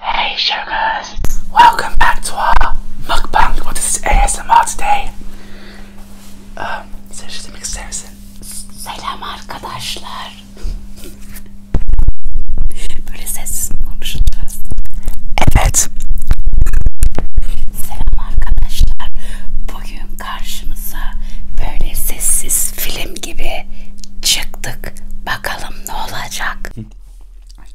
Hey sugars! Welcome back to our mukbang. What is ASMR today? Um, sen şey demek ister misin? Selam arkadaşlar. Böyle sessiz mi konuşacağız? Evet. Selam arkadaşlar. Bugün karşımıza böyle sessiz film gibi çıktık. Bakalım ne olacak? right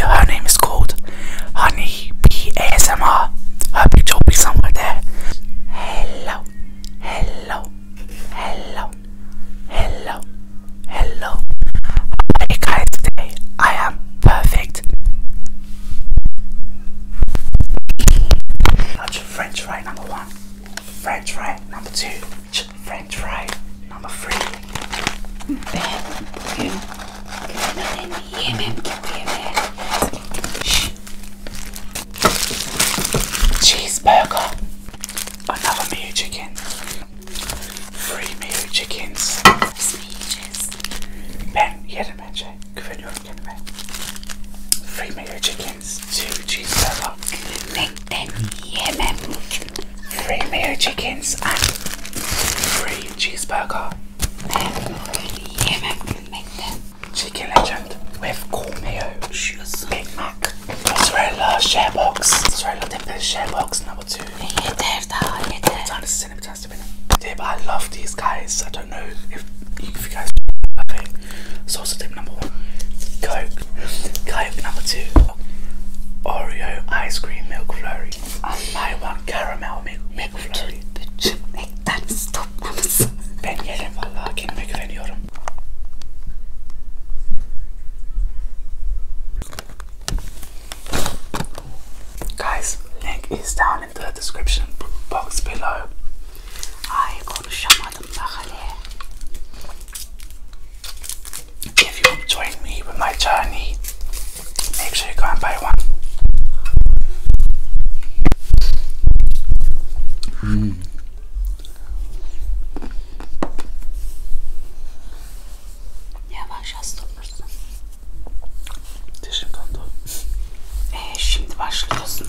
her name is called Honey Bee Her picture be somewhere there. Hello, hello, hello, hello, hello. Hey guys, today I am perfect. That's French fry number one, French fry number two, French fry number three. Ben, bugün Cheeseburger, another meal chicken, three meal chickens. Sweet cheese. Ben yerim bence, güveniyorum chicken wrap. Three mayo chickens, two cheese burger, ten Yemen. Three mayo chickens and three cheeseburger. Chicken legend with corn Big Mac. Mozzarella share box. Mozzarella dip share box number two. Time to cinnamon nice to but I love these guys. I don't know if, if you guys love it. Salsa dip number one. Coke. Coke number two. Oreo ice cream milk flurry. I want caramel milk, milk flurry. Make that stop. Ben yerim valla kendime güveniyorum. Guys, link is down in the description box below. If you join me with my journey, make sure you go and buy one. Mm. Yavaş hasta olursun. Teşekkür şimdi başlıyorsun.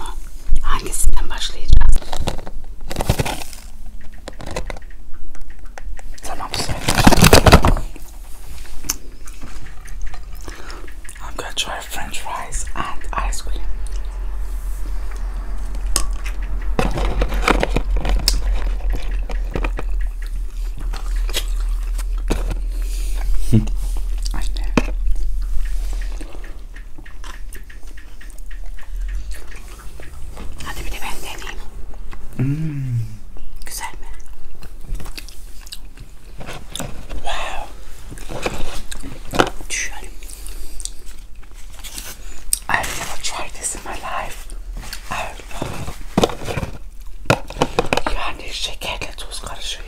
Hangisinden başlayacağız? Tamam I'm gonna try French fries and ice cream. I know. Hadi bir de ben deneyeyim. Mm. Güzel Wow. i I've never tried this in my life. Yani şekerle tuz karışıyor.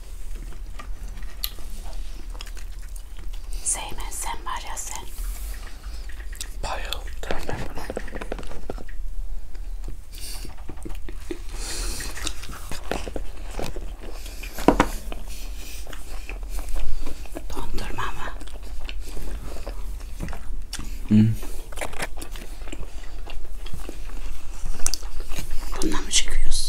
Seymen sen var ya sen. Bayıldım ben buna. Dondurma mı? Hmm. Bununla mı çıkıyorsun?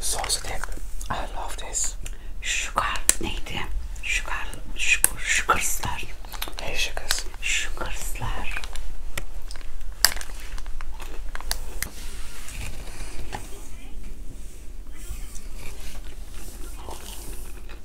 Sos dip. I love this. Sugar neydi? Sugar, sugar, sugarslar. Hey sugars. Sugarslar.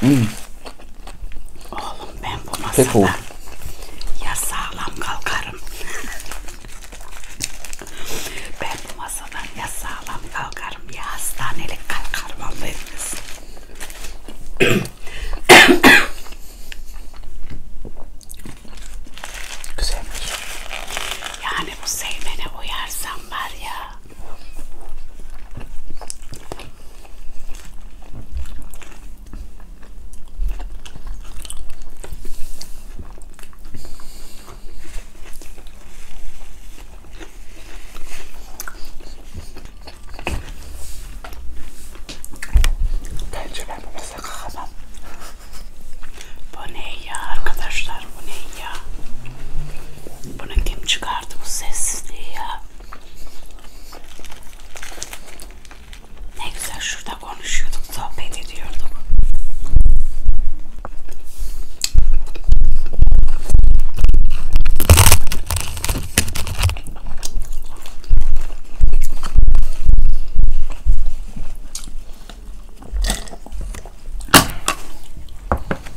Hmm. Oğlum ben bu masada Tek oğul. ya sağlam kalkarım. ben bu masadan ya sağlam kalkarım ya hastanelik kalkarım Allah'ım. Güzelmiş. Yani bu Seymen'e uyarsam var ya Bence ben bu mesele kalkamam. Bu ne ya arkadaşlar bu ne ya? Bunu kim çıkardı bu sessizliği ya? Ne güzel şurada konuşuyorduk, sohbet ediyorduk.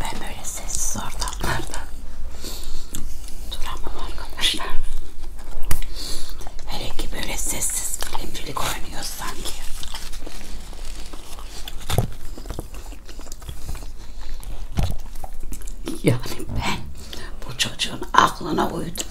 Ben böyle sessiz ortamlarda duramam arkadaşlar. Hele ki böyle sessiz filmcilik oynuyor sanki. Yani ben bu çocuğun aklına uydum.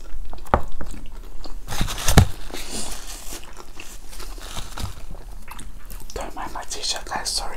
Don't mind my t-shirt guys, sorry.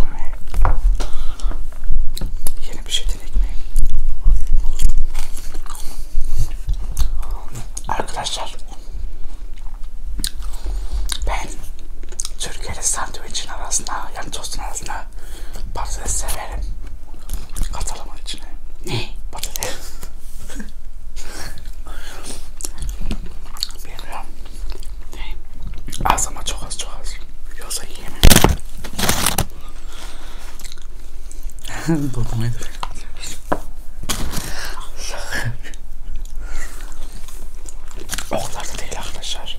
Bu ne? Yeni bir şey deneyim. Arkadaşlar ben Türkiye'de sandviçin arasına, yani tostun arasına patates severim. Katalım içine. Ne? Patates. Bilmiyorum. Az ama çok az çok az. Yoksa yiyemem. Dokunmayı da Oklarda değil arkadaşlar.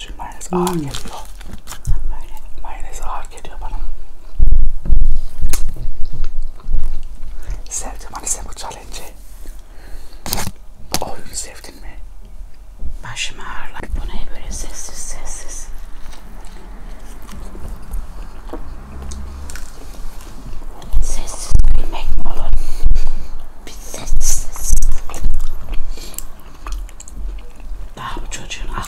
Çünkü mayonez ağır hmm. geliyor. Böyle mayonez ağır geliyor bana. Sevdim Anise bu challenge'i. Bu oyunu sevdin mi? Başım ağırlar. Bu ne böyle sessiz sessiz. Sessiz bilmek mi olur? Bir sessiz. Daha bu çocuğun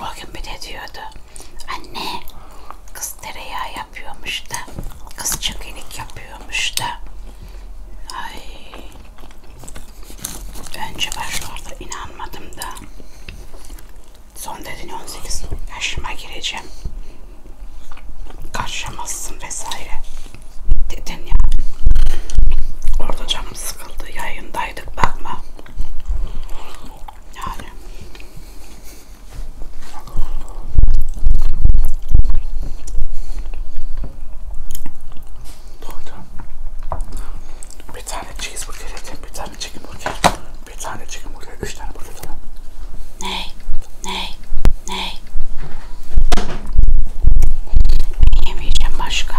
O gün bir de diyordu. Anne kız tereyağı yapıyormuş da. Kız çekinik yapıyormuş da. Ay. Önce başlarda inanmadım da. Son dedin 18 yaşıma gireceğim. Karşılamazsın vesaire. Dedin ya. Orada canım sıkıldı yayında Buradaydık bakma. Yani. Doydum. Bir tane cheeseburger yedim, bir tane chicken burger, bir tane chicken burger, üç tane burger falan. Ney? Ney? Ney? Yemeyeceğim başka.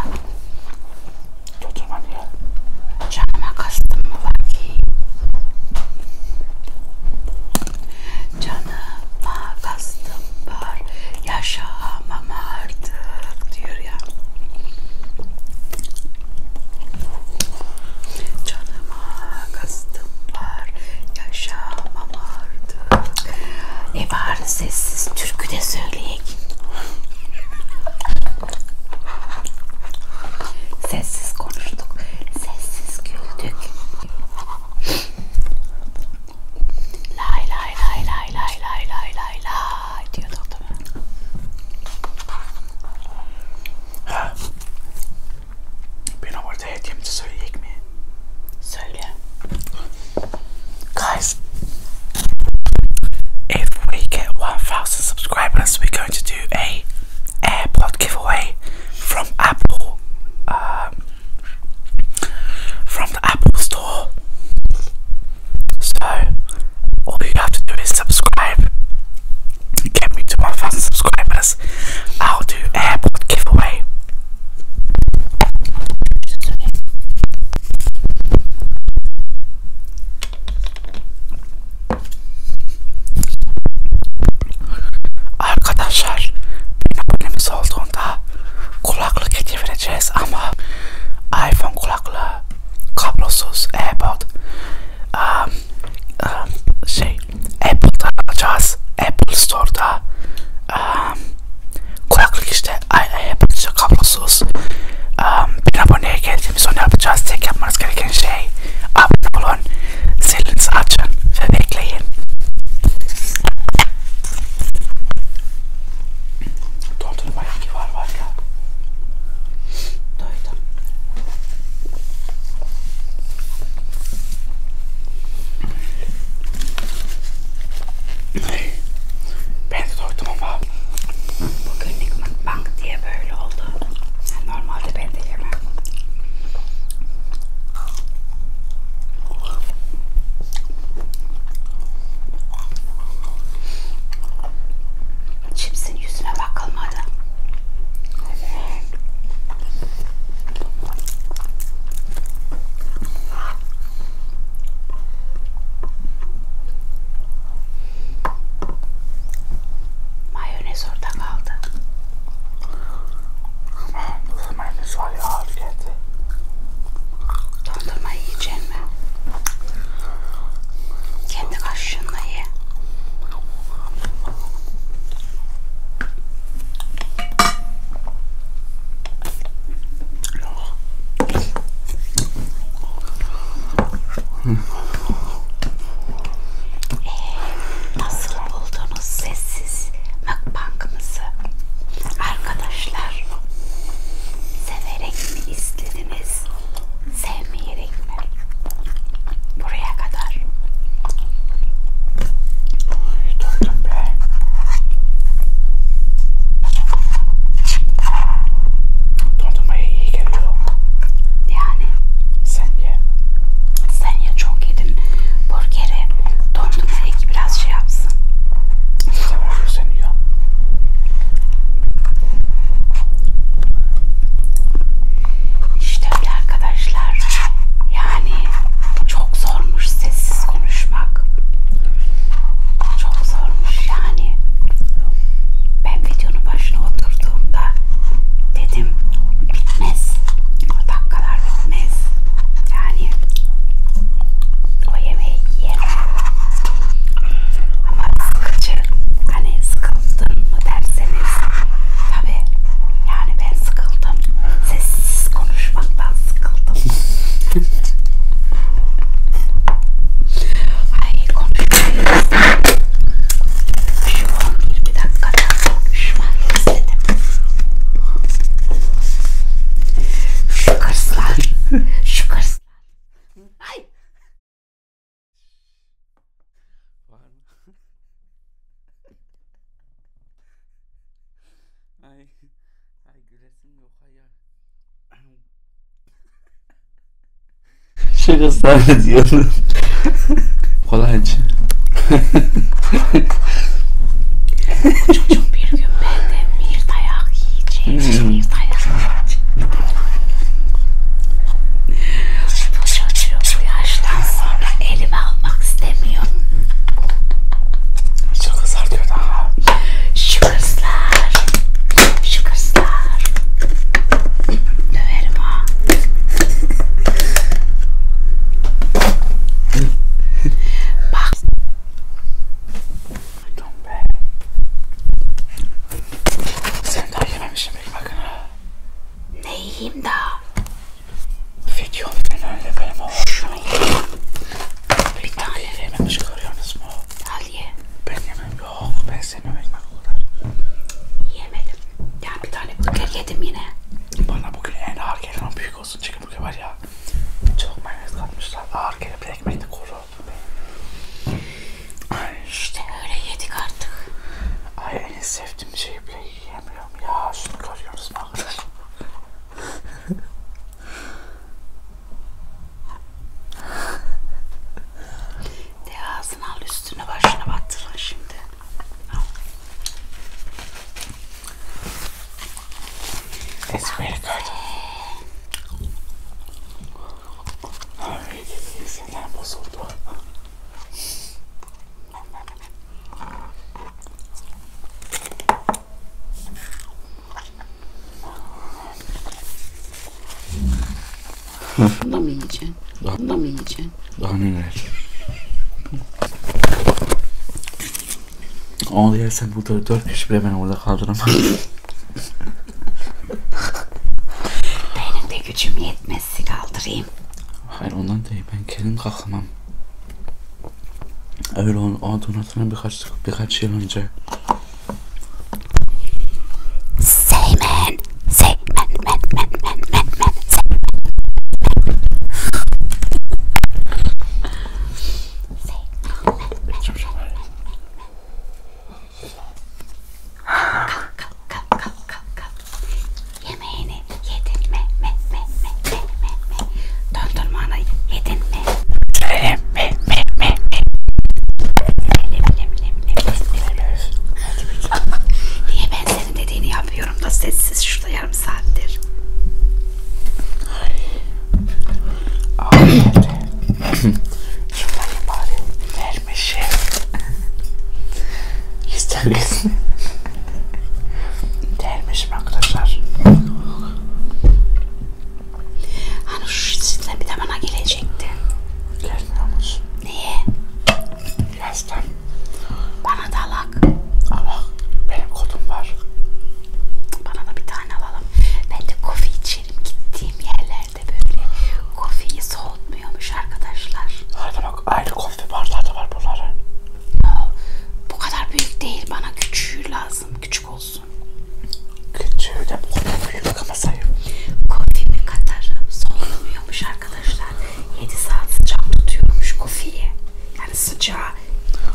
Dondurma diyor. Canıma kastım mı bakayım? Canıma kastım var. Yaşamam artık diyor ya. Canıma kastım var. Yaşamam artık. E bari sessiz türkü de söyleyek. Sessiz konuştuk. Sessiz güldük. Lay lay lay lay lay lay lay lay lay diyorduk değil mi? Ha. Ben orada hediyemizi söyleyecek mi? Söyle. Guys if we get 1,000 subscribers, we're going to do a AirPod giveaway from Apple, um, from the Apple Store. So all you have to do is subscribe. Get me to 1,000 subscribers. I'll do AirPod giveaway. Arkadaşlar abonemiz olduğunda kulaklık hediye vereceğiz ama iPhone kulaklığı kablosuz AirPod um, um, şey Apple'da alacağız Apple Store'da um, kulaklık işte Apple şey kablosuz. Um, bir aboneye geldiğimiz sonra yapacağız. Tek yapmanız gereken şey abone olun, zilinizi açın ve bekleyin. Doldurma ilgi var var ya. Doydum. Ben de doydum ama Bugünlük mukbang diye böyle oldu. Yani normalde ben de yemem. Çipsin yüzüne bakılmadı. Mayonez orada kaldı. Mayonez var ya ağır geldi. Dondurma yiyeceğim mi? Kendi kaşığınla ye. Ee, nasıl buldunuz sessiz mukbangımızı? Arkadaşlar severek mi izlediniz? Sevmeyerek mi? Buraya kadar. Ay, durdum be. Dondurmaya iyi geliyor. Yani sen ye. Sen ye çok yedin burgeri. Dondurmaya ki biraz şey yapsın. Sever sen yiyor. İşte öyle arkadaşlar. Yani çok zormuş sessiz konuşmak. Çok zormuş yani. Ben videonun başına oturduğumda dedim bitmez. O dakikalar bitmez. Yani o yemeği yiyemem. Ama sıkıcı. Hani sıkıldın mı derseniz tabi yani ben sıkıldım. Sessiz konuşmaktan sıkıldım. Ay konuşmayı Şu 11 bir dakikada konuşmayı istedim. Şu kırslar. Şu kırslar. Ay. Ay. Ay gülesim yok hayal. Şaka zannediyorum. Kolaycı. Çocuğum bir gün benden bir dayak yiyecek. Bir dayak yiyecek. Bu çocuğu bu yaştan sonra elime almak istemiyorum. Şu kızlar diyor daha. Şu kızlar. Şu kızlar. Döverim ha. Bak. Be. Sen daha yememişsin pek bakın ha. Ne yiyeyim daha? Videonun önünde benim oğlum. Şunu yiyeyim. Bir, bir tane. Yememiş görüyorsunuz mu? Aliye. Ben yemem. Yok ben seni yemekten kadar. Yemedim. Yani bir tane burger yedim yine. Bana bugün en ağır gelen büyük olsun çünkü burger var ya. Çok mayonez katmışlar. Ağır gelip bir ekmeği de kuru. Ay. İşte öyle yedik artık. Ay en sevdiğim şeyi bile yiyemiyorum ya. Şunu görüyoruz mu arkadaşlar? De ağzını al üstüne başına battırın şimdi. Al. It's really good. Ay, sinirlerim bozuldu. Bunu da mı yiyeceksin? Daha, Bunu da mı yiyeceksin? Daha neler? Onu yersen burada dört kişi bile beni orada kaldıramaz. Benim de gücüm yetmezse kaldırayım. Hayır ondan değil ben kendim kalkamam. Öyle on, adını sonrasına birkaç birkaç yıl önce Seymen Seymen men men men men men Yemeğini yedin mi? Me, me, me, me, me, me. Dondurmanı yedin Söyle. Me me me me. Söyle bile bile bile Niye ben senin dediğini yapıyorum da sessiz şurada yarım saattir. Ay. Şunları bari vermişim. İsteriz. Dermişim arkadaşlar. Hani şu sizle bir de bana gelecekti. Gelmiyormuş. Niye? Yazdan. Bana da alak. Alak. Benim kodum var. Bana da bir tane alalım. Ben de kofi içerim gittiğim yerlerde böyle. Kofiyi soğutmuyormuş arkadaşlar. Hadi bak ayrı kofi bardağı da var bunların. No, bu kadar büyük değil. Bana küçüğü lazım. Küçük olsun olsun. Küçüğü de bu kadar büyük ama sayım. Kofimin katarı soğumuyormuş arkadaşlar. 7 saat sıcak tutuyormuş kofiyi. Yani sıcağı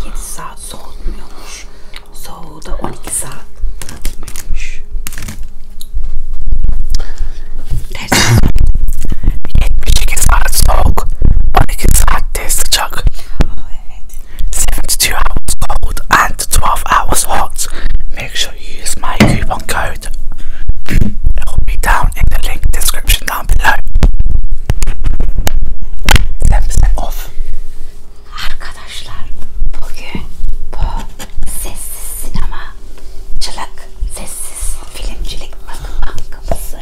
7 saat soğumuyormuş. Soğuğu da 12 saat tutmuyormuş. Tersi 78 saat soğuk, 12 saatte sıcak. Evet. 72 hours cold and 12 hours hot. Make sure you use my coupon code. it down in the link description down below. 10% off. Arkadaşlar bugün bu sessiz sinema çılak sessiz filmcilik bakım bankamızı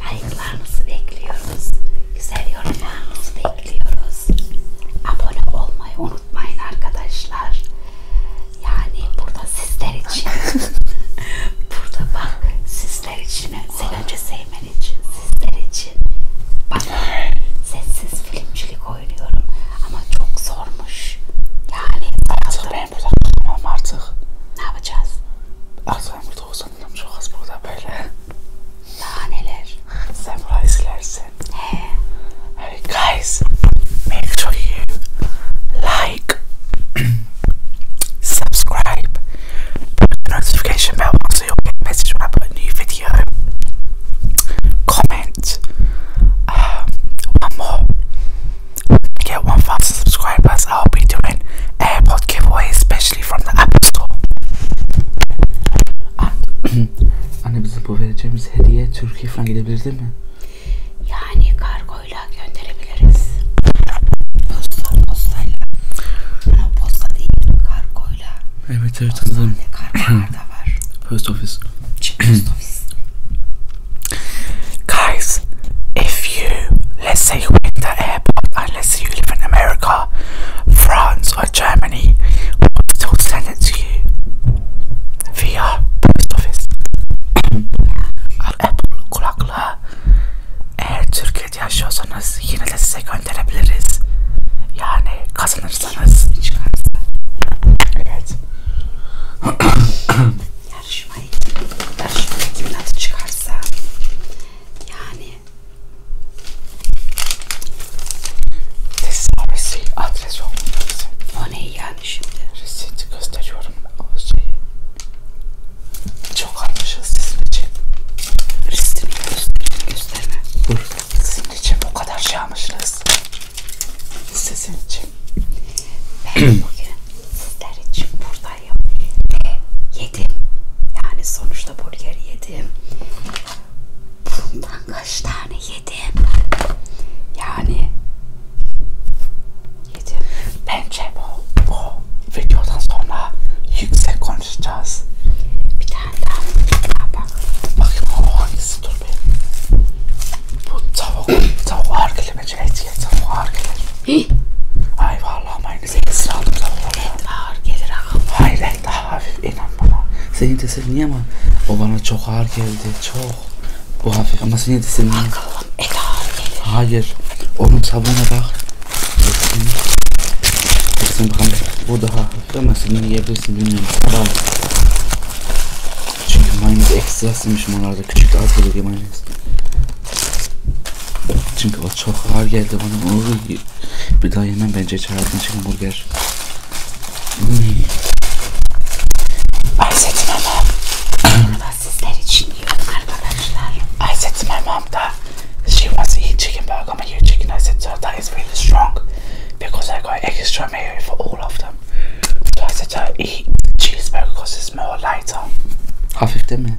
Like'larınızı bekliyoruz. Güzel yorumlarınızı bekliyoruz. Abone olmayı unutmayın arkadaşlar. Yani burada sizler için burada bak sizler için sen önce sevmen için sizler için bak sessiz filmcilik oynuyorum ama çok zormuş. Yani artık ben burada kalamam artık. Ne yapacağız? Artık ben burada Sonunda çok burada böyle. Daha neler? Sen Hey guys, make sure you like, subscribe, put the notification bell on so you'll get a message when I put a new video. Comment. Um, one more. get 1,000 subscribers, I'll be doing AirPod giveaway special. actually from the Apple Store. Ah. Anne bize bu vereceğimiz hediye Türkiye falan gidebilir değil mi? Yani kargoyla gönderebiliriz. Posta, postayla. Ama posta değil, kargoyla. Evet evet anladım. Kargolar da var. Post office. Post office. Guys, if you let's say winter airport, unless you live in America, France, or Germany, we'll still send it to you via post office. Apple kulaklığı eğer Türkiye'de yaşıyorsanız yine de size gönderebiliriz. Yani kazanırsanız çıkarsa. Evet. yarışmayı yarışma ekibinatı çıkarsa yani This is obviously adres yok mu? O ne yani şimdi? Resit gösteriyorum o şeyi. Çok almışız sizin için. Resitini göster, gösterme. Dur. Sizin için o kadar şey almışız. Sizin için. Ben bugün sizler için buradayım şeyler yok ve yedim yani sonuçta burger yedim bundan kaç tane yedim yani yedim bence bu, bu videodan sonra yüksek konuşacağız bir tane daha ya bak bakın o hangisi dur be bu tavuk tavuk hargile bence et ye tavuk hargile ay vallahi ben 8 aldım Evet ağır gelir ağır. Hayır daha hafif inan bana. Senin teselli niye ama o bana çok ağır geldi çok. Bu hafif ama senin teselli niye? Bakalım et ağır gelir. Hayır. Onun sabuna bak. Hepsini. Hepsini bakalım. Bu daha hafif ama senin yiyebilirsin bilmiyorum. Tamam. Çünkü mayonez ekstrasıymış onlarda. Küçük de az geliyor mayonez. Çünkü o çok ağır geldi bana. Oy. Bir daha yemem bence hiç hayatım için burger. Hmm. Ayset Mamam. Burada sizler için yiyorum arkadaşlar. Ayset Mamam da she wants to eat chicken burger but your chicken I said so that is really strong because I got extra mayo for all of them. So I said to eat cheeseburger because it's more lighter. Hafif değil mi?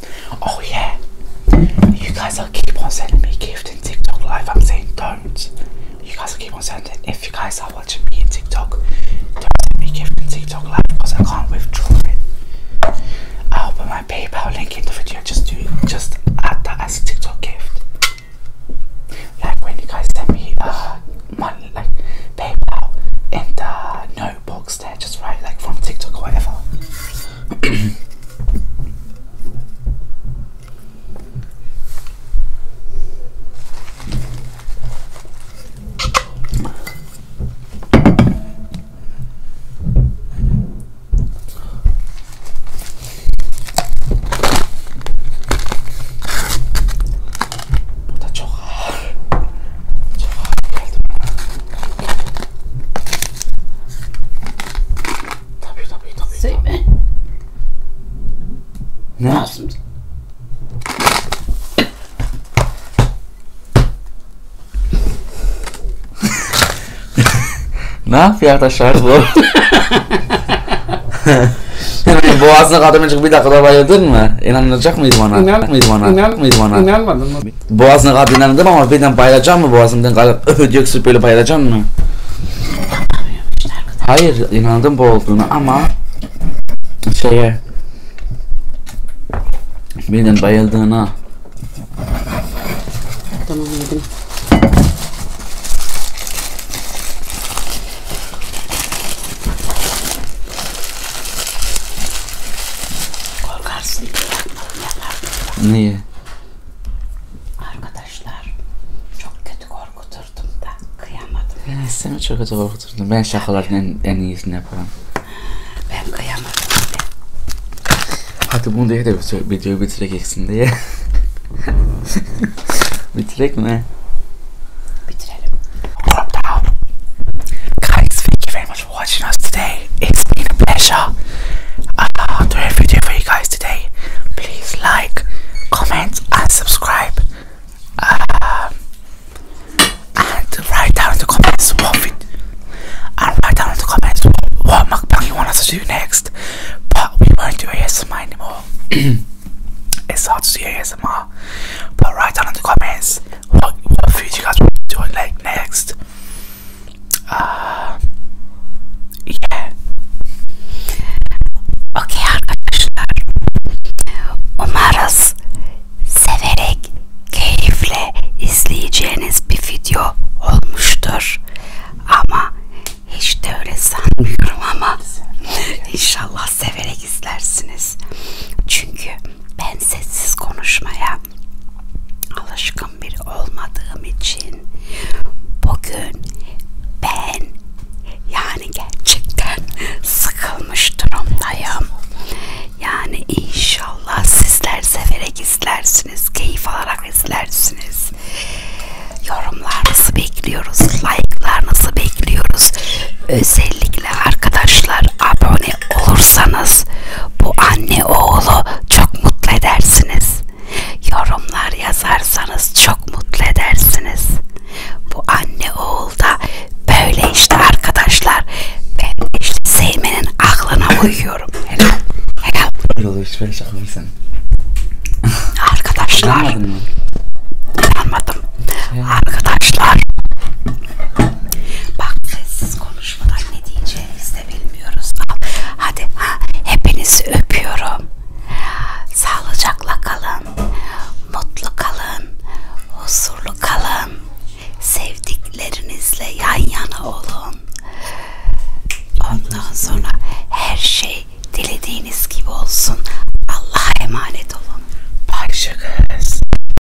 Oh yeah, you guys will keep on sending me gifts in TikTok live. I'm saying don't. You guys will keep on sending. If you guys are watching me in TikTok, don't send me gifts in TikTok live because I can't withdraw it. I'll put my PayPal link in the video. Just do just add that as a TikTok gift. Like when you guys send me uh money like PayPal and the no box there, just right, like from TikTok or whatever. Tabii tabii tabii. Seymen. Tabii. Ne lazım? ne yapıyor arkadaşlar bu? Boğazına kadar bir dakikada bayıldın mı? İnanılacak mıydı bana? İnan, mıydı bana? İnan, mıydı bana? İnanmadın mı? abi. Boğazına kadar inandım ama birden bayılacağım mı boğazımdan kalıp öf diye öksürüp böyle bayılacağım mı? Hayır inandım bu olduğunu ama şeye birden bayıldığına Tamam yedim. Korkarsın diye yapmadım yapardım. Niye? Arkadaşlar çok kötü korkuturdum da kıyamadım. Ya, seni çok kötü korkuturdum. Ben şakaların en, en iyisini yaparım. Ben kıyamadım bile. Hadi bunu diye de video bitirek eksin diye. bitirek mi? Bitirelim. Guys, thank you very much. for watching us today. It's been a pleasure uh, I love doing a video for you guys today. Please like, comment, and subscribe. Um, and write down in the comments what we, and write down in the comments what mukbang you want us to do next. But we won't do ASMR anymore. it's hard to do ASMR. But write down in the comments what what food you guys want to do like next. Uh, yeah. Okey arkadaşlar. Umarız severek, keyifle izleyeceğiniz bir video olmuştur. Ama hiç de öyle sanmıyorum ama inşallah severek izlersiniz. Çünkü ben sessiz konuşmaya alışkın biri olmadığım için bugün ben yani gerçekten sıkılmış durumdayım. Yani inşallah sizler severek izlersiniz, keyif alarak izlersiniz. Yorumlarınızı bekliyoruz, like'larınızı bekliyoruz. Özellikle arkadaşlar abone anne olursanız bu anne oğlu çok mutlu edersiniz. Yorumlar yazarsanız çok mutlu edersiniz. Bu anne oğul da böyle işte arkadaşlar. Ben işte Seymen'in aklına uyuyorum. Helal. Helal. Arkadaşlar. Anladım. Arkadaşlar. Bak sessiz konuşmadan ne diyeceğimizi de bilmiyoruz. Hadi hepinizi öpüyorum. Sağlıcakla kalın. Mutlu kalın. Huzurlu kalın. Sevdiklerinizle yan yana olun. Ondan sonra her şey dilediğiniz gibi olsun. Allah'a emanet olun. Bay şakız.